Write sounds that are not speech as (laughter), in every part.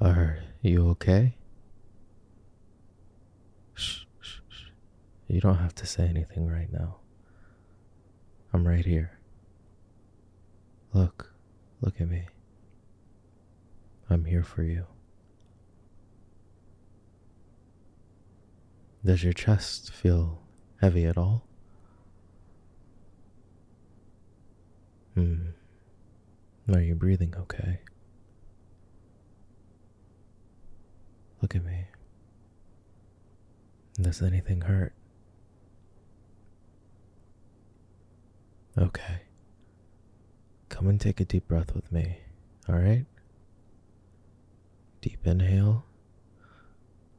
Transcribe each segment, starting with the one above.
Are you okay? Shh, shh, shh. You don't have to say anything right now. I'm right here. Look, look at me. I'm here for you. Does your chest feel heavy at all? Hmm. Are you breathing okay? Look at me. Does anything hurt? Okay. Come and take a deep breath with me, alright? Deep inhale,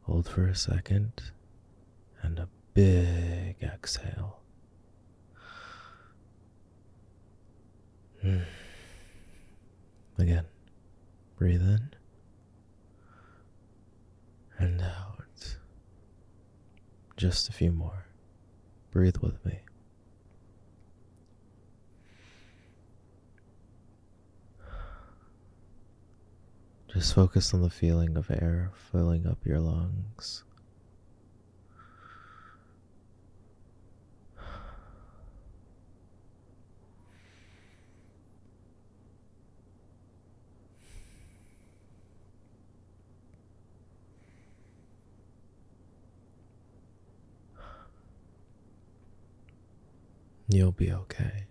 hold for a second, and a big exhale. Hmm. Again, breathe in and out. Just a few more. Breathe with me. Just focus on the feeling of air filling up your lungs You'll be okay.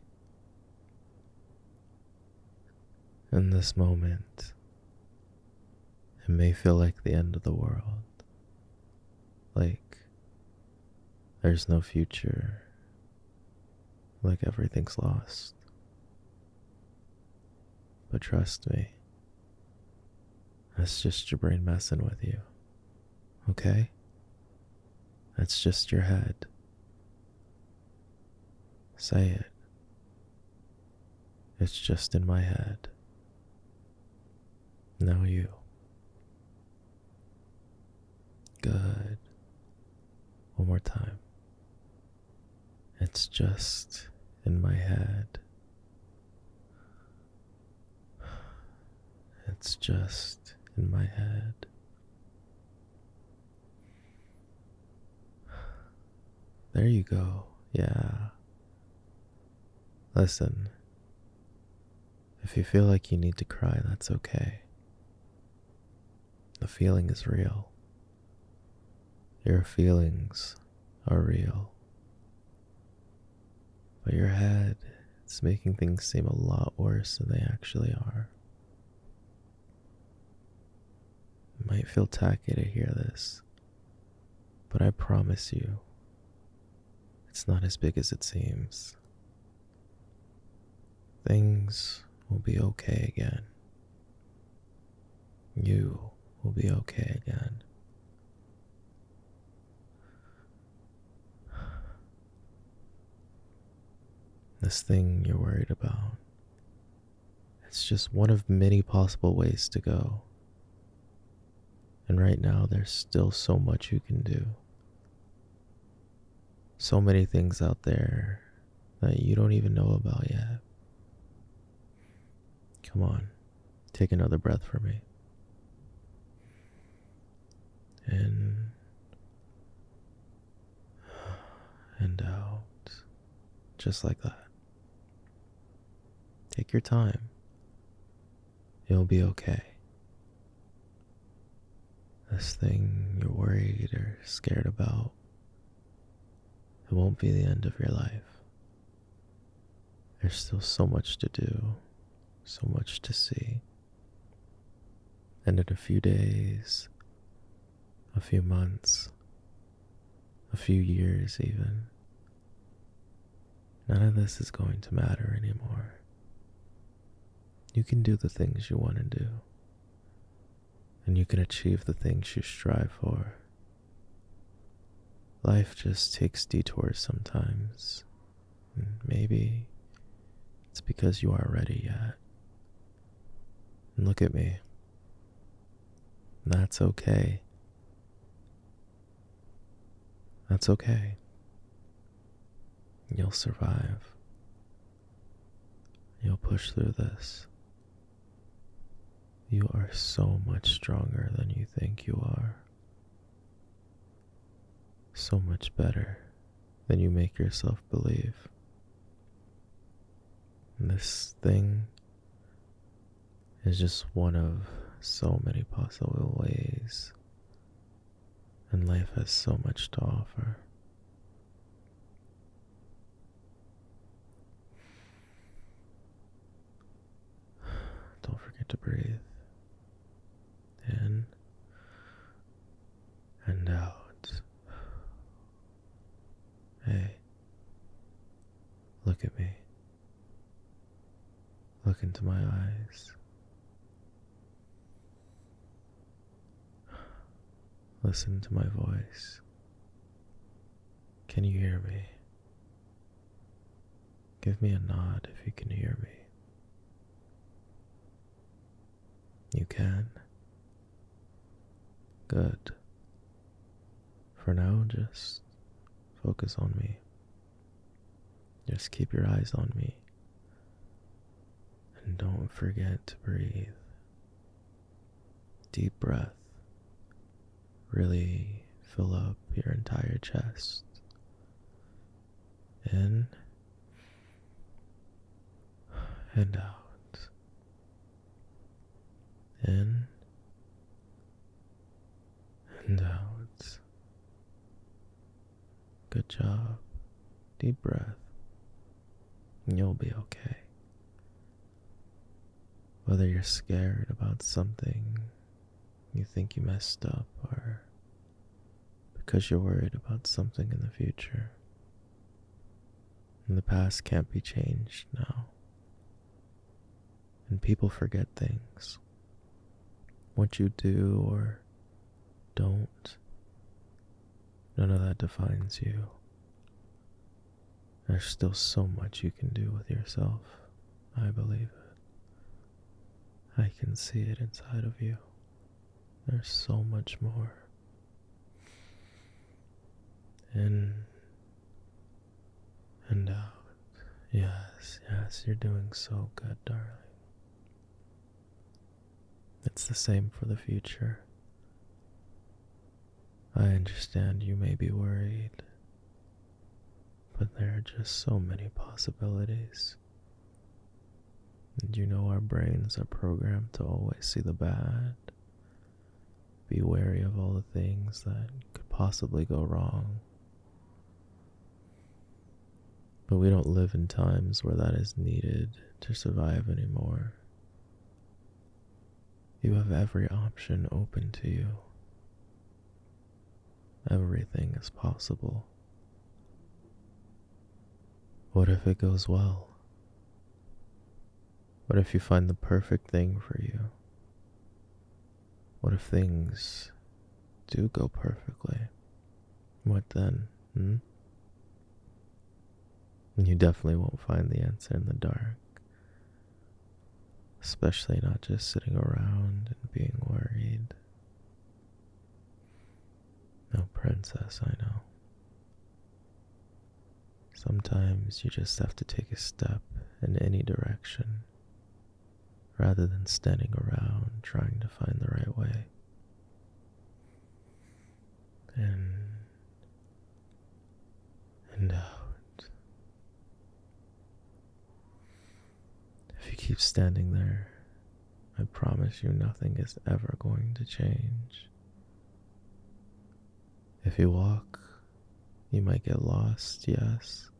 In this moment, it may feel like the end of the world, like there's no future, like everything's lost. But trust me, that's just your brain messing with you, okay? That's just your head. Say it. It's just in my head. Now you. Good. One more time. It's just in my head. It's just in my head. There you go. Yeah. Listen. If you feel like you need to cry, that's okay. The feeling is real. Your feelings are real. But your head, it's making things seem a lot worse than they actually are. It might feel tacky to hear this, but I promise you, it's not as big as it seems. Things will be okay again. You will be okay again. (sighs) This thing you're worried about it's just one of many possible ways to go. And right now, there's still so much you can do. So many things out there that you don't even know about yet. Come on, take another breath for me. And and out, just like that. Take your time. you will be okay. This thing you're worried or scared about, it won't be the end of your life. There's still so much to do, so much to see. And in a few days, a few months, a few years, even. None of this is going to matter anymore. You can do the things you want to do, and you can achieve the things you strive for. Life just takes detours sometimes, and maybe it's because you aren't ready yet look at me. That's okay. That's okay. You'll survive. You'll push through this. You are so much stronger than you think you are. So much better than you make yourself believe. This thing is just one of so many possible ways, and life has so much to offer. Don't forget to breathe in and out. Hey, look at me. Look into my eyes. Listen to my voice. Can you hear me? Give me a nod if you can hear me. You can. Good. For now, just focus on me. Just keep your eyes on me. And don't forget to breathe. Deep breath. Really fill up your entire chest. In and out in and out. Good job. Deep breath. You'll be okay. Whether you're scared about something you think you messed up or because you're worried about something in the future, and the past can't be changed now. And people forget things. What you do or don't, none of that defines you. There's still so much you can do with yourself. I believe it. I can see it inside of you. There's so much more. In and out. Yes, yes, you're doing so good, darling. It's the same for the future. I understand you may be worried, but there are just so many possibilities. And you know our brains are programmed to always see the bad be wary of all the things that could possibly go wrong. But we don't live in times where that is needed to survive anymore. You have every option open to you. Everything is possible. What if it goes well? What if you find the perfect thing for you? What if things do go perfectly? What then? Hmm? You definitely won't find the answer in the dark, especially not just sitting around and being worried. No princess, I know. Sometimes you just have to take a step in any direction rather than standing around trying to find the right way. In and out. If you keep standing there, I promise you nothing is ever going to change. If you walk, you might get lost, yes,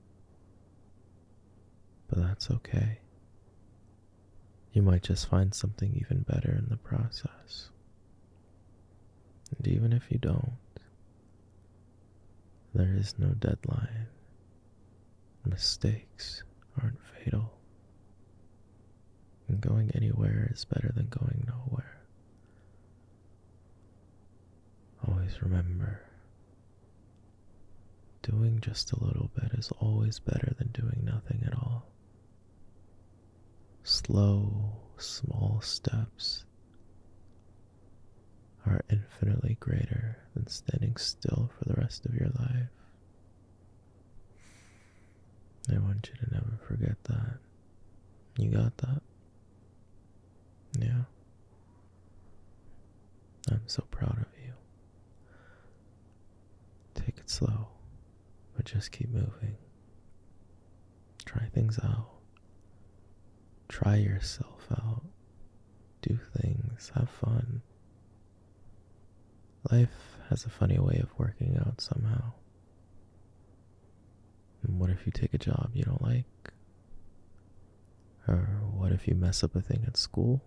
but that's okay. You might just find something even better in the process. And even if you don't, there is no deadline. Mistakes aren't fatal. And going anywhere is better than going nowhere. Always remember doing just a little bit is always better than doing nothing at all. Slow, small steps are infinitely greater than standing still for the rest of your life. I want you to never forget that. You got that? Yeah. I'm so proud of you. Take it slow, but just keep moving. Try things out. Try yourself out. Do things. Have fun. Life has a funny way of working out somehow. what if you take a job you don't like? Or what if you mess up a thing at school?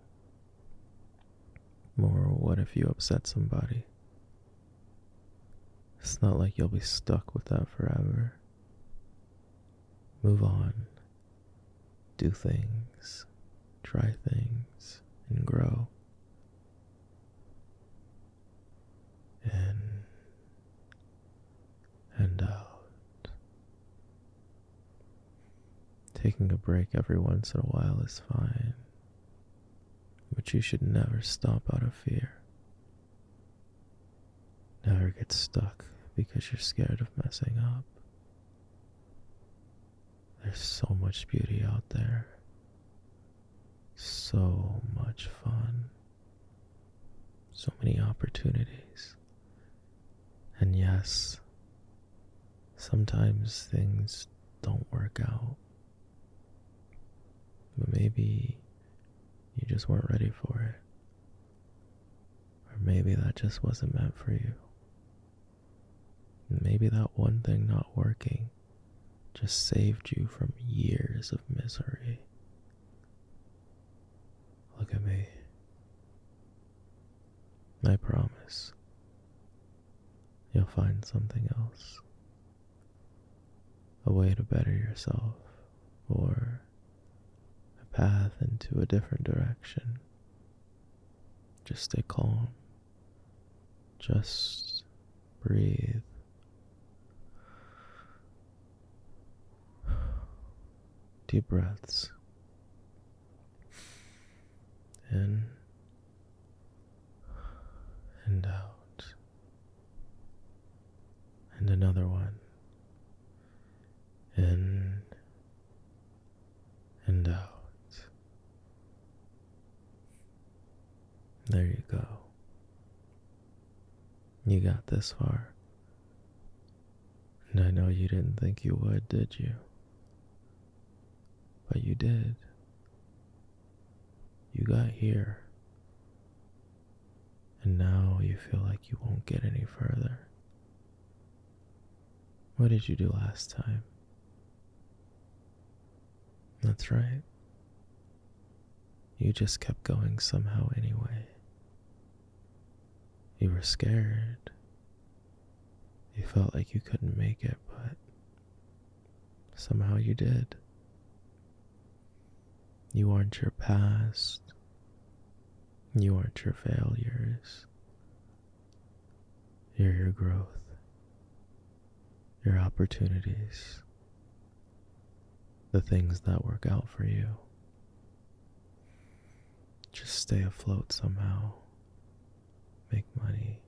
More, what if you upset somebody? It's not like you'll be stuck with that forever. Move on. Do things, try things, and grow in and out. Taking a break every once in a while is fine, but you should never stop out of fear. Never get stuck because you're scared of messing up. There's so much beauty out there. So much fun. So many opportunities. And yes, sometimes things don't work out. But maybe you just weren't ready for it. Or maybe that just wasn't meant for you. Maybe that one thing not working just saved you from years of misery. Look at me. I promise you'll find something else. A way to better yourself, or a path into a different direction. Just stay calm just breathe. Deep breaths in and out, and another one in and out. There you go. You got this far. And I know you didn't think you would, did you? But you did. You got here. And now you feel like you won't get any further. What did you do last time? That's right. You just kept going somehow anyway. You were scared. You felt like you couldn't make it, but somehow you did. You aren't your past. You aren't your failures your growth, your opportunities, the things that work out for you. Just stay afloat somehow, make money,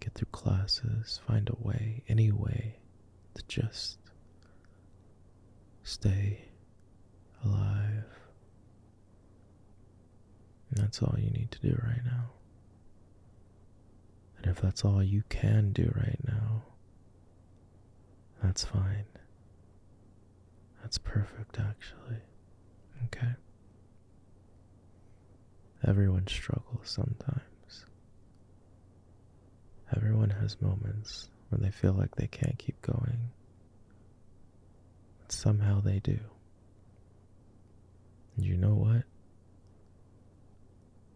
get through classes, find a way, any way to just stay alive that's all you need to do right now. And if that's all you can do right now, that's fine. That's perfect, actually. Okay? Everyone struggles sometimes. Everyone has moments where they feel like they can't keep going. But somehow they do you know what?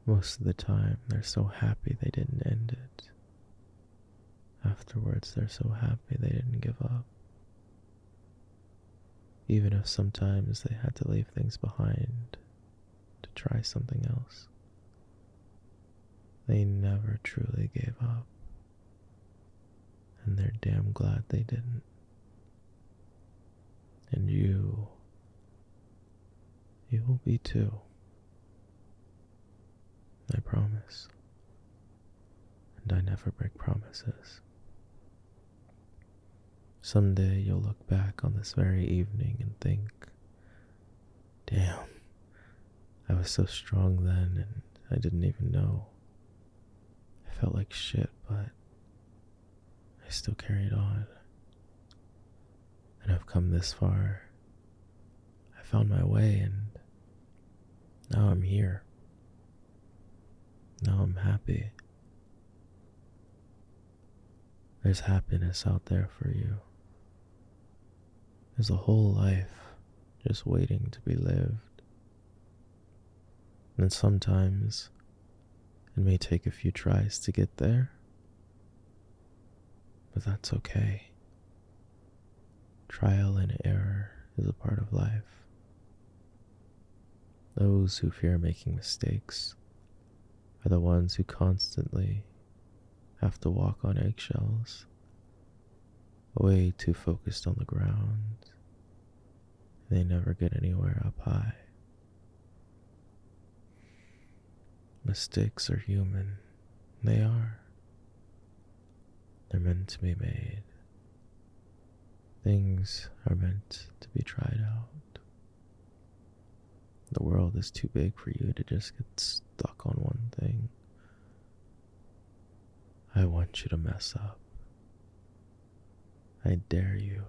Most of the time, they're so happy they didn't end it. Afterwards, they're so happy they didn't give up. Even if sometimes they had to leave things behind to try something else, they never truly gave up. And they're damn glad they didn't. And you, you will be too. I promise. And I never break promises. Someday you'll look back on this very evening and think, damn, I was so strong then and I didn't even know. I felt like shit, but I still carried on. And I've come this far. I found my way, and now I'm here. Now I'm happy. There's happiness out there for you. There's a whole life just waiting to be lived. And sometimes it may take a few tries to get there, but that's okay. Trial and error is a part of life. Those who fear making mistakes are the ones who constantly have to walk on eggshells way too focused on the ground. They never get anywhere up high. Mistakes are human. They are. They're meant to be made. Things are meant to be tried out. The world is too big for you to just get stuck on one thing. I want you to mess up. I dare you.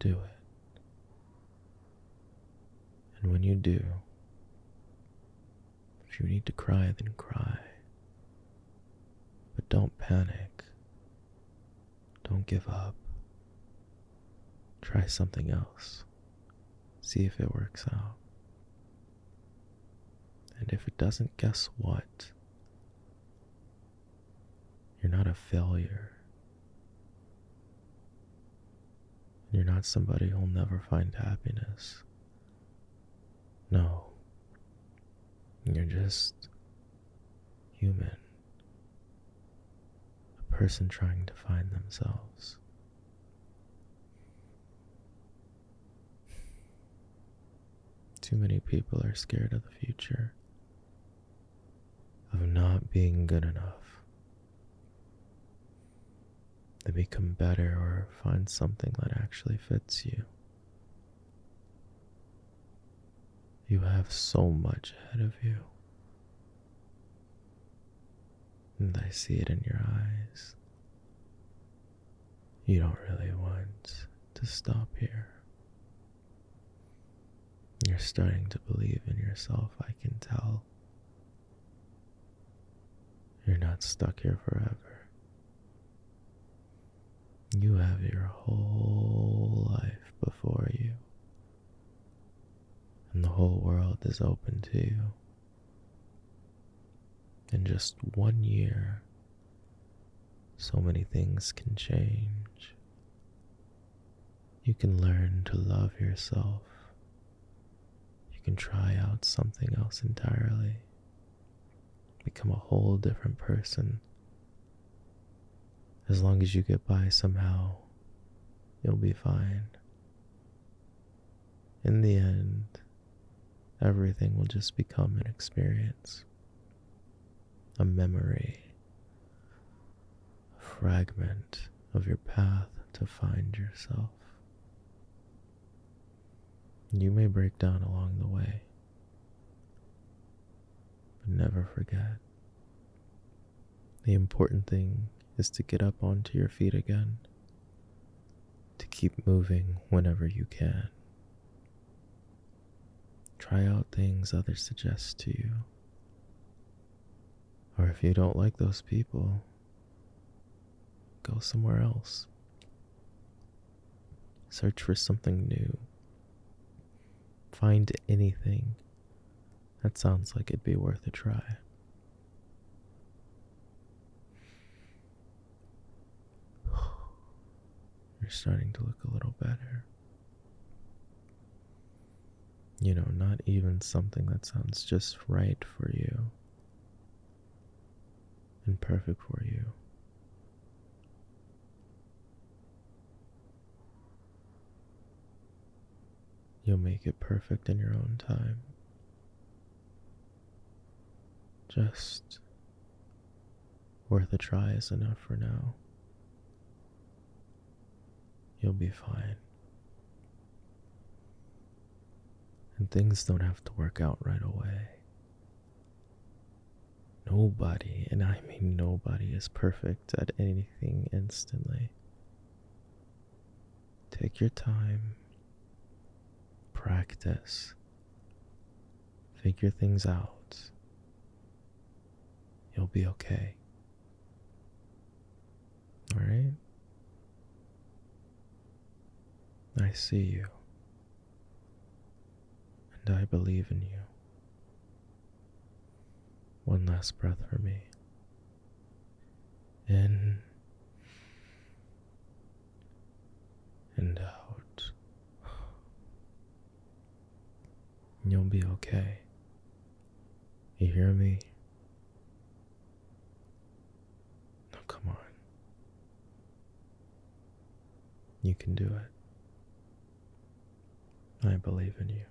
Do it. And when you do, if you need to cry, then cry. But don't panic. Don't give up. Try something else. See if it works out. And if it doesn't, guess what? You're not a failure. You're not somebody who'll never find happiness. No. You're just human. A person trying to find themselves. Too many people are scared of the future, of not being good enough. They become better or find something that actually fits you. You have so much ahead of you. And I see it in your eyes. You don't really want to stop here. You're starting to believe in yourself, I can tell. You're not stuck here forever. You have your whole life before you, and the whole world is open to you. In just one year, so many things can change. You can learn to love yourself. You can try out something else entirely, become a whole different person. As long as you get by somehow, you'll be fine. In the end, everything will just become an experience, a memory, a fragment of your path to find yourself. You may break down along the way, but never forget. The important thing is to get up onto your feet again to keep moving whenever you can. Try out things others suggest to you. Or if you don't like those people, go somewhere else. Search for something new. Find anything that sounds like it'd be worth a try. (sighs) You're starting to look a little better. You know, not even something that sounds just right for you and perfect for you. You'll make it perfect in your own time. Just worth a try is enough for now. You'll be fine. And things don't have to work out right away. Nobody, and I mean nobody, is perfect at anything instantly. Take your time. Practice. Figure things out. You'll be okay. Alright? I see you. And I believe in you. One last breath for me. In and out. You'll be okay. You hear me? Now, come on. You can do it. I believe in you.